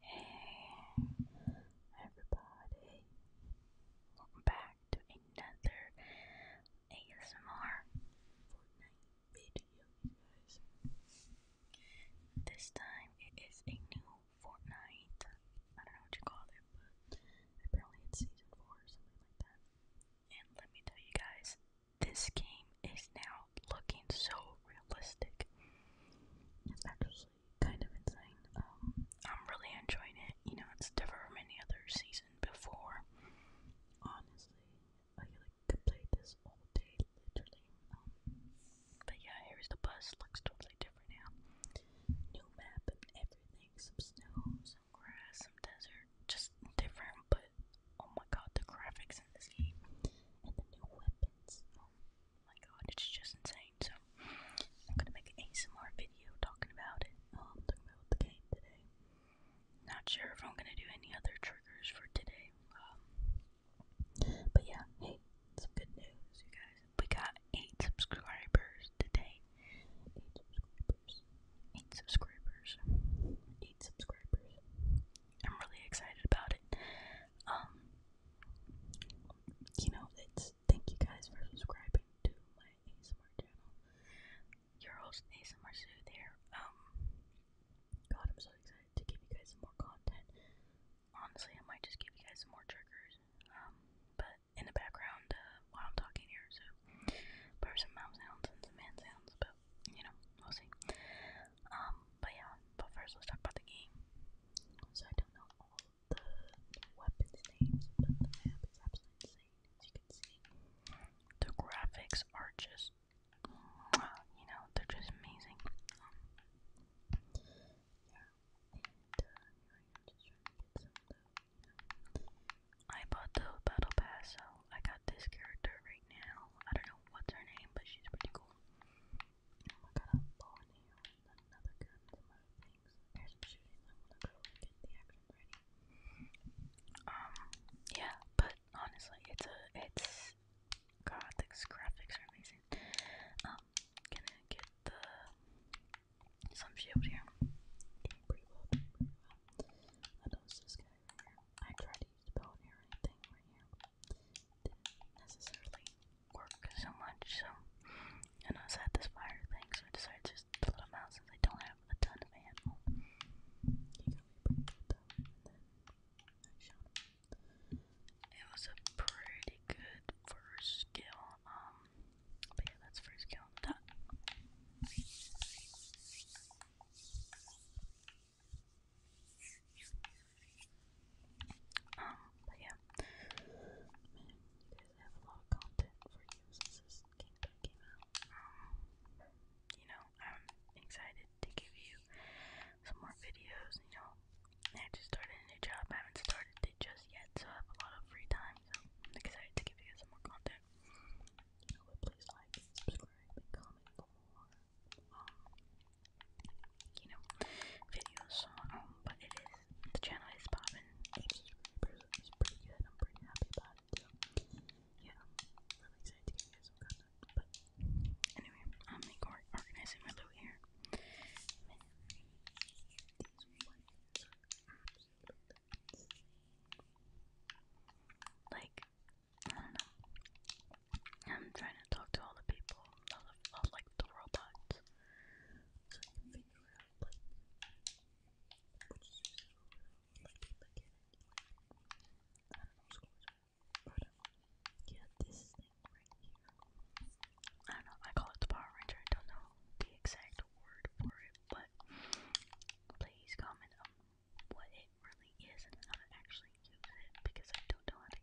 Hey everybody, welcome back to another ASMR Fortnite video, guys. This time it is a new Fortnite, I don't know what you call it, but apparently it's season 4 or something like that. And let me tell you guys, this game is now looking so realistic. It's actually kind of insane. Um, I'm really enjoying it. You know, it's different from any other season before. Honestly, I could play this all day, literally. Um, but yeah, here's the bus. Looks totally different now. New map and Some snow, some grass, some desert. Just different, but oh my god, the graphics in this game and the new weapons. Um, Oh my god, it's just insane. So I'm gonna make an ASMR video talking about it. Um, talking about the game today. Not sure if I'm gonna do any other triggers for today. Um, but yeah, hey, some good news, you guys. We got eight subscribers today. Eight subscribers. Eight subscribers. Eight subscribers. I'm really excited about it. Um, you know, it's thank you guys for subscribing to my ASMR channel. Your host ASMR Sue there. Um, God, I'm so excited to give you guys more content. Honestly, I might just give you guys more triggers. Um, but in the background uh, while I'm talking here, so some mouth sounds and some hand sounds, but you know, we'll see. Um, but yeah, but first let's talk about the game. So I don't know all the weapons names, but the map is absolutely insane, as you can see. The graphics are just, you know, they're just amazing. Um, yeah, uh, I bought the battle pass, so I got this character right now. I don't know what's her name, but she's pretty cool. Um, yeah, but honestly, it's a, it's, god, these graphics are amazing. gonna um, get the, some shield here. Doing pretty well, doing pretty well. know this guy I tried to use the belt here or anything right here necessarily work so much, so and I was at this fire thing, so I decided just to let him out since I don't have a ton of ammo. It was a pretty good first kill, um, but yeah, that's first kill. That. Um, but yeah. Man, have a lot of content for you this game came out. Um, you know, I'm excited to give you some more videos, you know. I just started a new job, I haven't started it just yet, so I have a lot of free time, so I'm excited to give you some more content. You please like, subscribe, and comment um, you know, videos. Um, but it is the channel is popping. Subscribers pretty good. I'm pretty happy about it. Yeah, really excited to get some content. But anyway, I'm organizing my loot here. Like I don't know. I'm trying to talk to all the people, not, like the robots. But I don't know, I call it the Power Ranger, I don't know the exact word for it, but please comment what it really is and how to actually use it because I don't know how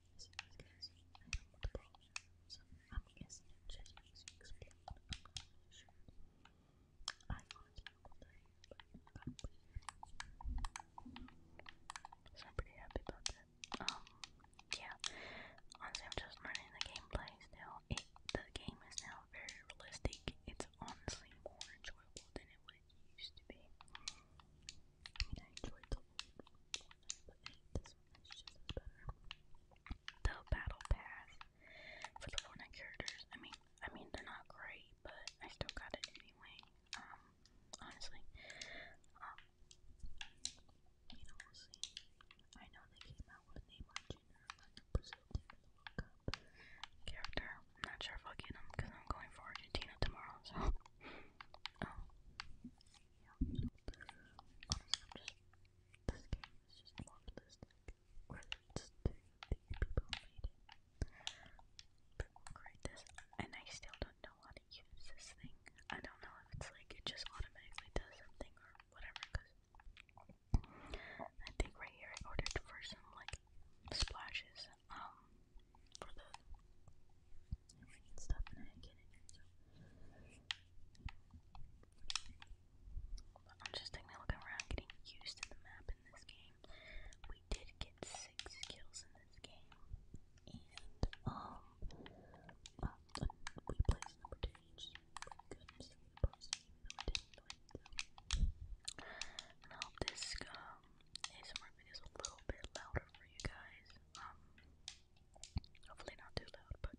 I am guessing i just using explain what I'm pretty happy about that. Um, yeah, honestly I'm just learning the gameplay now. the game is now very realistic. It's honestly more enjoyable than it would used to be. I mean, I enjoyed the old one, but this it's just better. The battle pass for the Fortnite characters. I mean, I mean they're not great, but I still got it anyway. Um, honestly, um, you know we'll see. I know they came out with a Brazil team character. not sure if I'll get him because I'm going for Argentina tomorrow. So, um, yeah. Honestly, this game is just moralistic. Credits to the people made it. People and I still don't know how to use this thing. I don't know if it's like, it just automatically does something or whatever, because I think right here I ordered for some, like, splashes, um, for the and I am just taking a look around, getting used to the map in this game. We did get six kills in this game, and um, we placed number two each. Good, so I hope this um, ASMR video is a little bit louder for you guys. Um, Hopefully not too loud, but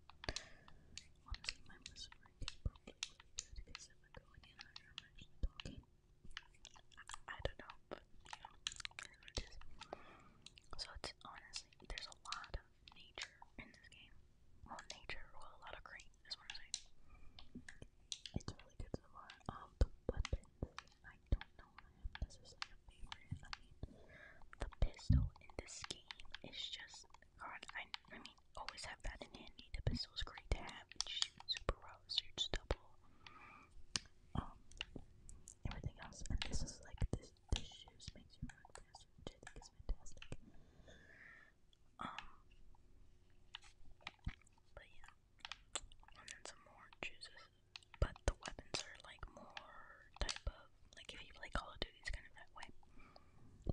honestly my listener is probably really good because if I go any higher I'm actually talking. I, don't know, So it's honestly, there's a lot of nature in this game. Well, nature, well, a lot of green is what I'm It's really good so far. Um, I don't this is like favorite. I mean, the pistol in this game is just God. I I mean, always have that in handy. The pistol is great to have. It shoots super well, it double. Um, everything else, and this is like this. This shoes makes you run faster, which I think is fantastic. Um, but yeah, and then some more juices but the weapons are like more type of like if you play Call of Duty, it's kind of that way,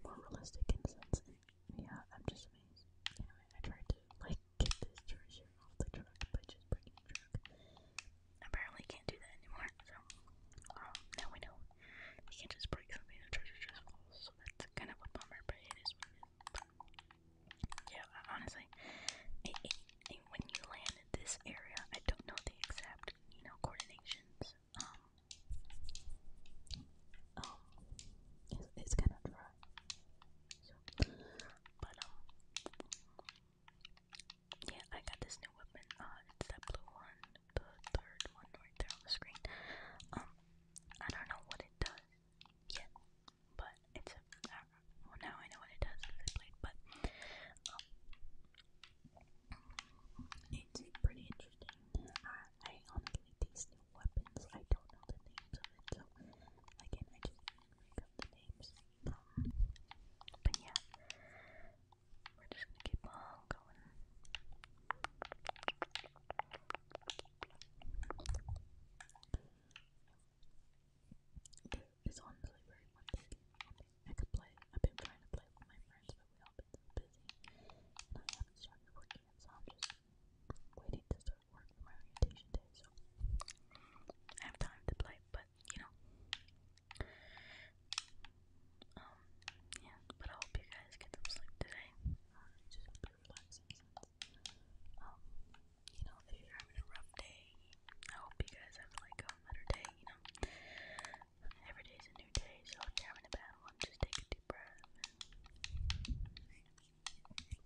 more realistic in a sense. yeah, I'm just amazed. Anyway, I tried to like get this treasure off the truck by just breaking the truck. Apparently, can't do that anymore. So um, now we know you can't just break something; the treasure just falls. So that's kind of a bummer, but it is what it is. But, yeah, honestly, when you land in this area, I don't know the exact you know, coordinations. Um, um, it's, kind of dry. So, but um, yeah, I got this new weapon. Uh, it's that blue one, the third one right there on the screen. Um, I don't know what it does yet, but it's a. Uh, well, now I know what it does But um, it's pretty interesting. I, I honestly, these new weapons, I don't know the names of it, so again, I just make up the names. but yeah, we're just gonna keep on going is on delivery I could play. I've been trying to play with my friends, but we all been busy, and I haven't started working so I'm just waiting to start work for my orientation day. So I have time to play, but you know, um, yeah. But I hope you guys get some sleep today. Uh, just be relaxing. Um, you know, if you're having a rough day I hope you guys have like a better day, you know. Every day's a new day, so if you're having a bad one, just take a deep breath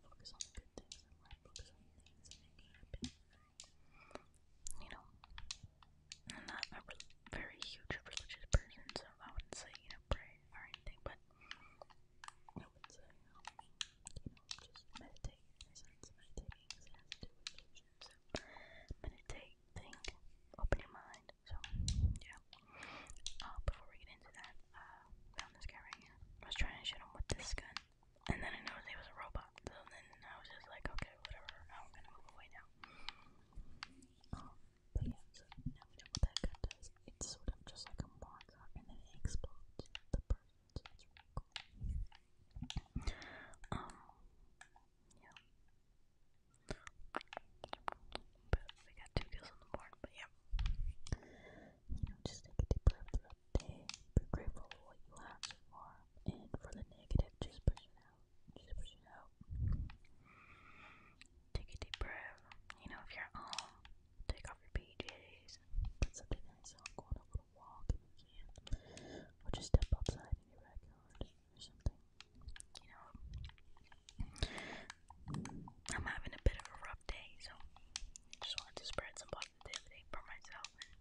focus on the good things focus on the things that make you happy. You know, I'm not a very huge religious person, so I would say, you know, pray or anything, but I would say, um, just meditate Meditating has to do with religions meditate, think, open your mind. So, yeah. Uh, before we get into that, uh, found this guy right here. I was trying to shoot him with this gun, and then I noticed he was a robot. So then I was just like, okay, whatever. I'm gonna move away now. Um, but yeah, so now we know what that gun does. It's sort of just like a marker, and then it explodes the person. it's really cool. Um, yeah. But we got two kills on the board, but yeah. You know, just take a deep breath throughout the day. Be grateful for what you have so far. And for the negative, just push it out. Just push it out. Take a deep breath. You know, if you're home, take off your PJs. something nice on, go on a walk if you can, or just step outside your backyard or something. You know, I'm having a bit of a rough day, so I just wanted to spread some positivity for myself and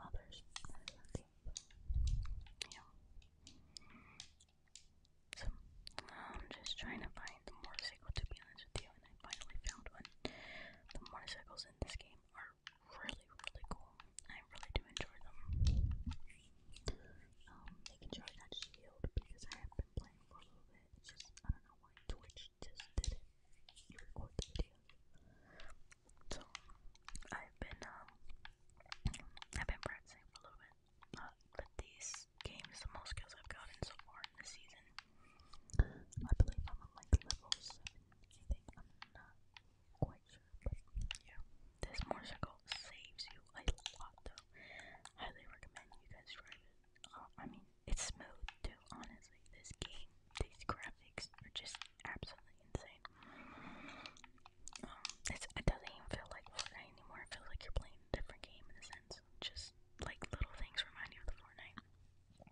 others. You know. So, I'm just trying to find more motorcycle to be honest with you, and I finally found one. The motorcycles in this game are really, really cool. I really do enjoy them. Um, making sure I shield because I have been playing for a little bit. just I don't know why Twitch just did it. You record the videos. So I've been um I've been practicing for a little bit. Uh, but these games the most skills I've gotten so far in the season. I believe I'm like level seven I think I'm not quite sure, but yeah, this motorcycle saves you a lot, though. Highly recommend you guys try it. I mean, it's smooth too. Honestly, this game, these graphics are just absolutely insane. it doesn't even feel like Fortnite anymore. It feels like you're playing a different game in a sense. Just like little things remind you of the Fortnite.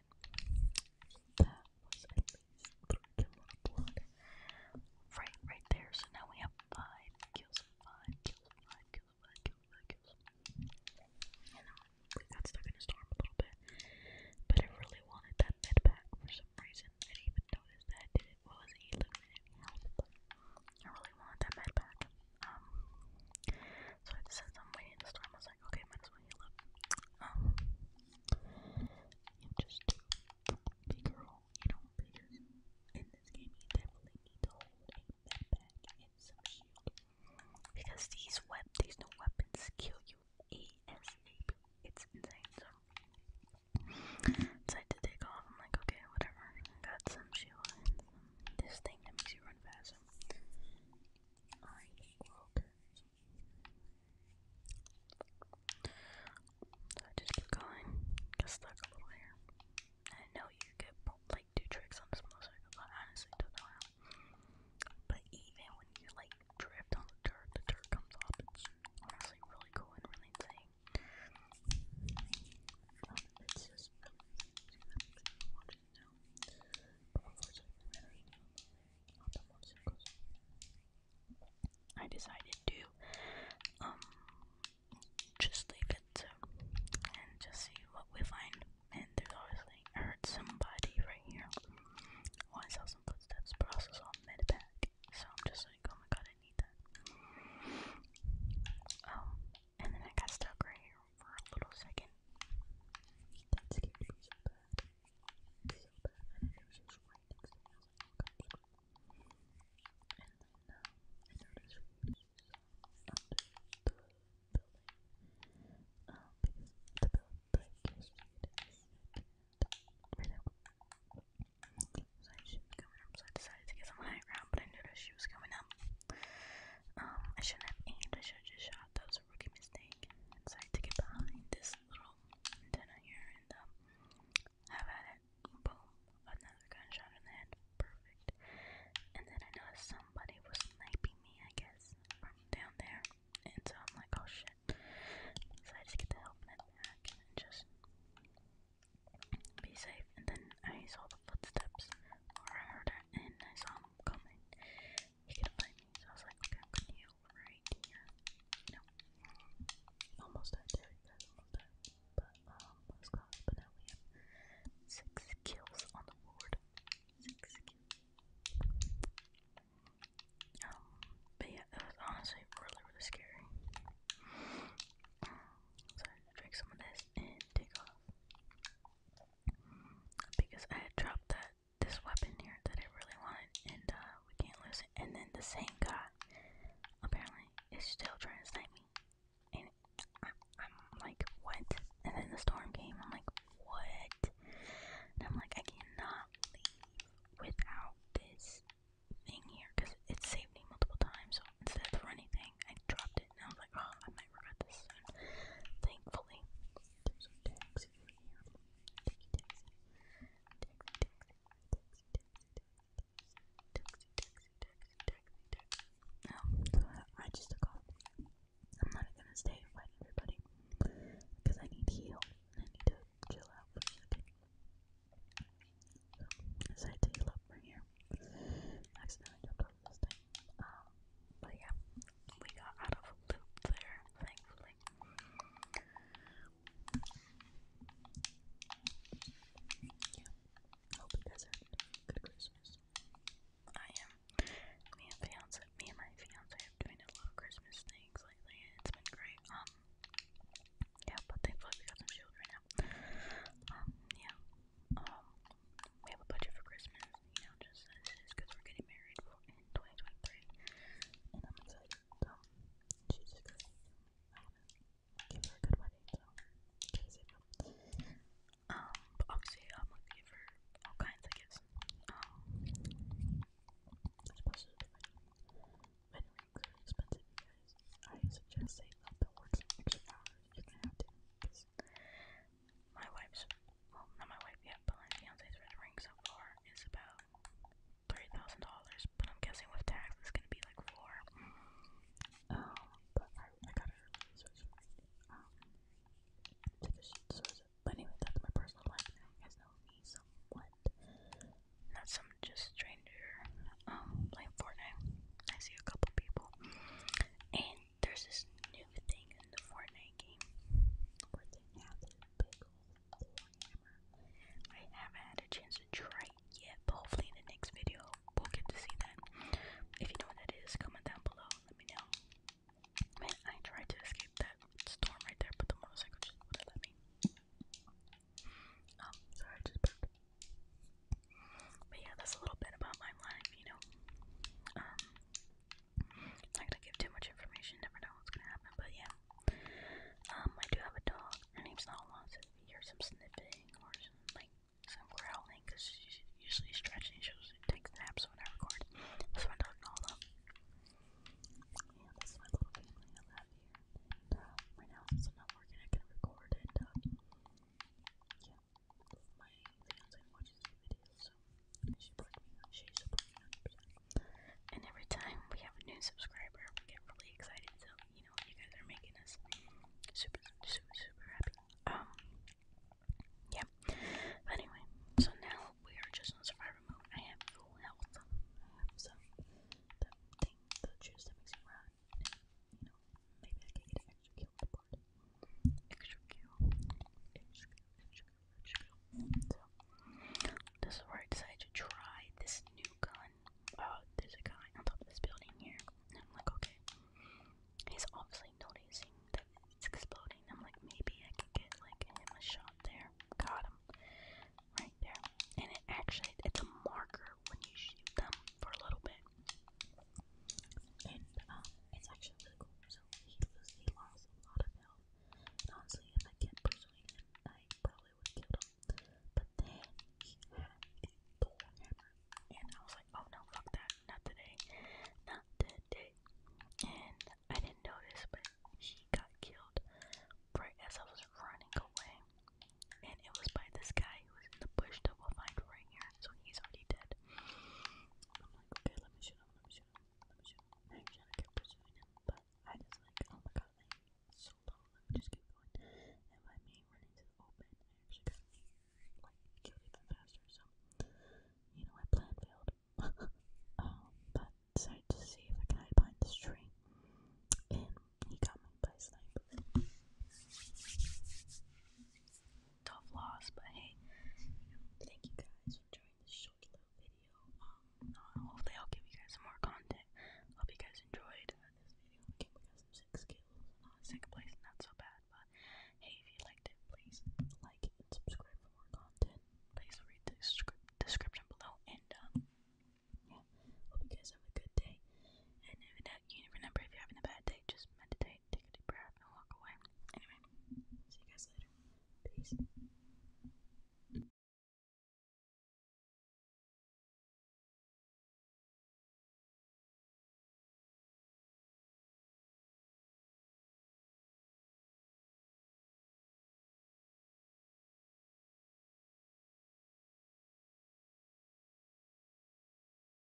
that was Right, right there. So now we have five kills, five kills, five kills, five kills, five kills. And um, we got stuck in a storm a little bit. But I really wanted that med pack for some reason. I even notice that it. was he looking I really wanted that med pack. Um, so I just said I'm waiting okay, might as well heal up. Um, just big girl, you know, because in this game you definitely need to hold a med and shield. Because these web these new weapons kill you ASAP. It's insane, so decided to take off. I'm like, okay, whatever. got some shield this thing that makes you run faster. I just keep going, get stuck a here. I know you could like do tricks on the small circle, but honestly don't know how. But even when you like drift on the dirt, the dirt comes off. It's honestly really cool and really insane. it's just really it now. But unfortunately, we ran out of not the motorcycles. I decided to um just leave it and just see what we find. And there's obviously I heard somebody right here. Oh, I saw some footsteps, but I also saw a med pack. So I'm just like, oh my god, I need that. Um, and then I got stuck right here for a little second. That scared me so bad. So bad. And it was right next to me. I was like, oh gosh. And then um, I noticed we the building. Um, because the building like, used to So I should be coming up, so I decided to get some high ground, but I noticed she was coming up. Um, I shouldn't have aimed, I should just shot yeah, that was a rookie mistake. Decided to get behind this little antenna here and um, have at it. Boom, another gunshot in the head. Perfect. And then I noticed somebody was sniping me, I guess, from down there. And so I'm like, oh shit. So I just get the help back and just be safe. And then I saw the footsteps, or I heard it, and I saw comment, he could find me. So I was like, okay, I'm gonna heal right here. almost there, almost dead. But, um, we have six kills on the board. Six kills. Um, but yeah, that was honestly really, really scary. Um, so I drink some of this and take off because I had dropped that this weapon here that I really wanted, and uh, we can't lose it. And then the same guy apparently is still trying to save me, and I'm like, what? And then the storm came. I'm like, what? And I'm like, I cannot leave without this thing here because it saved me multiple times. So instead of running, I dropped it and I was like, oh, I might regret this Thankfully, I just took off. I'm not gonna stay and fight everybody because I need heal I need to chill out for a second. So, I decided to heal up here. accidentally jumped off this um, but yeah, we got out of loop there, thankfully. Yeah, hope you guys good Christmas. I am. Me and fiance, me and my fiance have been doing a lot of Christmas things lately, and it's been great. Um, yeah, but thankfully we got some shield now. Um, yeah. Um, we have a budget for Christmas, you know, just because we're getting married in 2023, and I'm gonna, give her a good wedding, so, Um, obviously, I'm gonna give her all kinds of gifts, um, especially the wedding, wedding rings are expensive, you guys, I suggest saving up towards extra my wife's, well, not my wife yet, but my fiance's red ring so far is about $3,000, but I'm guessing with tax it's gonna be like four. Um, but I, I gotta research, um, But anyway, that's my personal life. You guys know me somewhat. Not some just stranger, um, playing Fortnite. I see a couple people there's this new thing in the Fortnite game I haven't had a chance to try yet, but hopefully in the next video we'll get to see that. If you know what that is, comment down below let me know. Man, I tried to escape that storm right there, but the motorcycle just wouldn't let me. Um, sorry, just but yeah, that's a little bit about my life, you know. Um, it's not gonna give too much information. Never know what's gonna happen. But yeah, um, I do have a dog. Her name's not Alonso. If you hear some sniffing or some, like some growling, cause she's usually stretching, she'll take naps when I record. That's my dog Nala. Yeah, that's my little family I have here. And, uh, right now, since I'm not working, I can record and. Uh, yeah, my fiance watches videos, so she supports me, she supports me And every time we have a new subscriber, we get really excited, so, you know, you guys are making us super, super, super happy. Um, yeah. But anyway, so now we are just on survivor mode. I have full health. I have some, the juice that makes you run, you know, maybe I can get an extra kill with the board extra cute. this is where I decided to try this new gun. Oh, there's a guy on top of this building here. I'm like, okay. He's obviously noticing that it's exploding. I'm like, maybe I can get like him a shot there. Got him. Right there. And it actually, it's a marker when you shoot them for a little bit. And um, it's actually really cool. So he loses, he lost a lot of health. honestly, if I kept pursuing him, I probably would have him. But then he had a hammer, and I was like, oh no, fuck that, not today, not today. And I didn't notice, but he got killed right as I was running away, and it was by this guy guy was in the bush that we'll find right here, so he's already dead. I'm like, okay, let me shoot let me shoot let me shoot i just like, oh my god, so low, let me just keep going. And by me running to open, I actually got near, like, killed even faster, so, you know, my plan failed. um, but decided to see if I can hide behind this tree, and he got me by sniper tough loss, but hey, thank you guys for joining this short little video. Um, uh, hopefully I'll give you guys some more content. Hope you guys enjoyed this video. I gave you guys uh, place, not so bad, but hey, if you liked it, please like and subscribe for more content. Please read the description below, and um, yeah, hope you guys have a good day. And if you remember, if you're having a bad day, just meditate take a deep breath, and walk away. Anyway, see you guys later. Peace.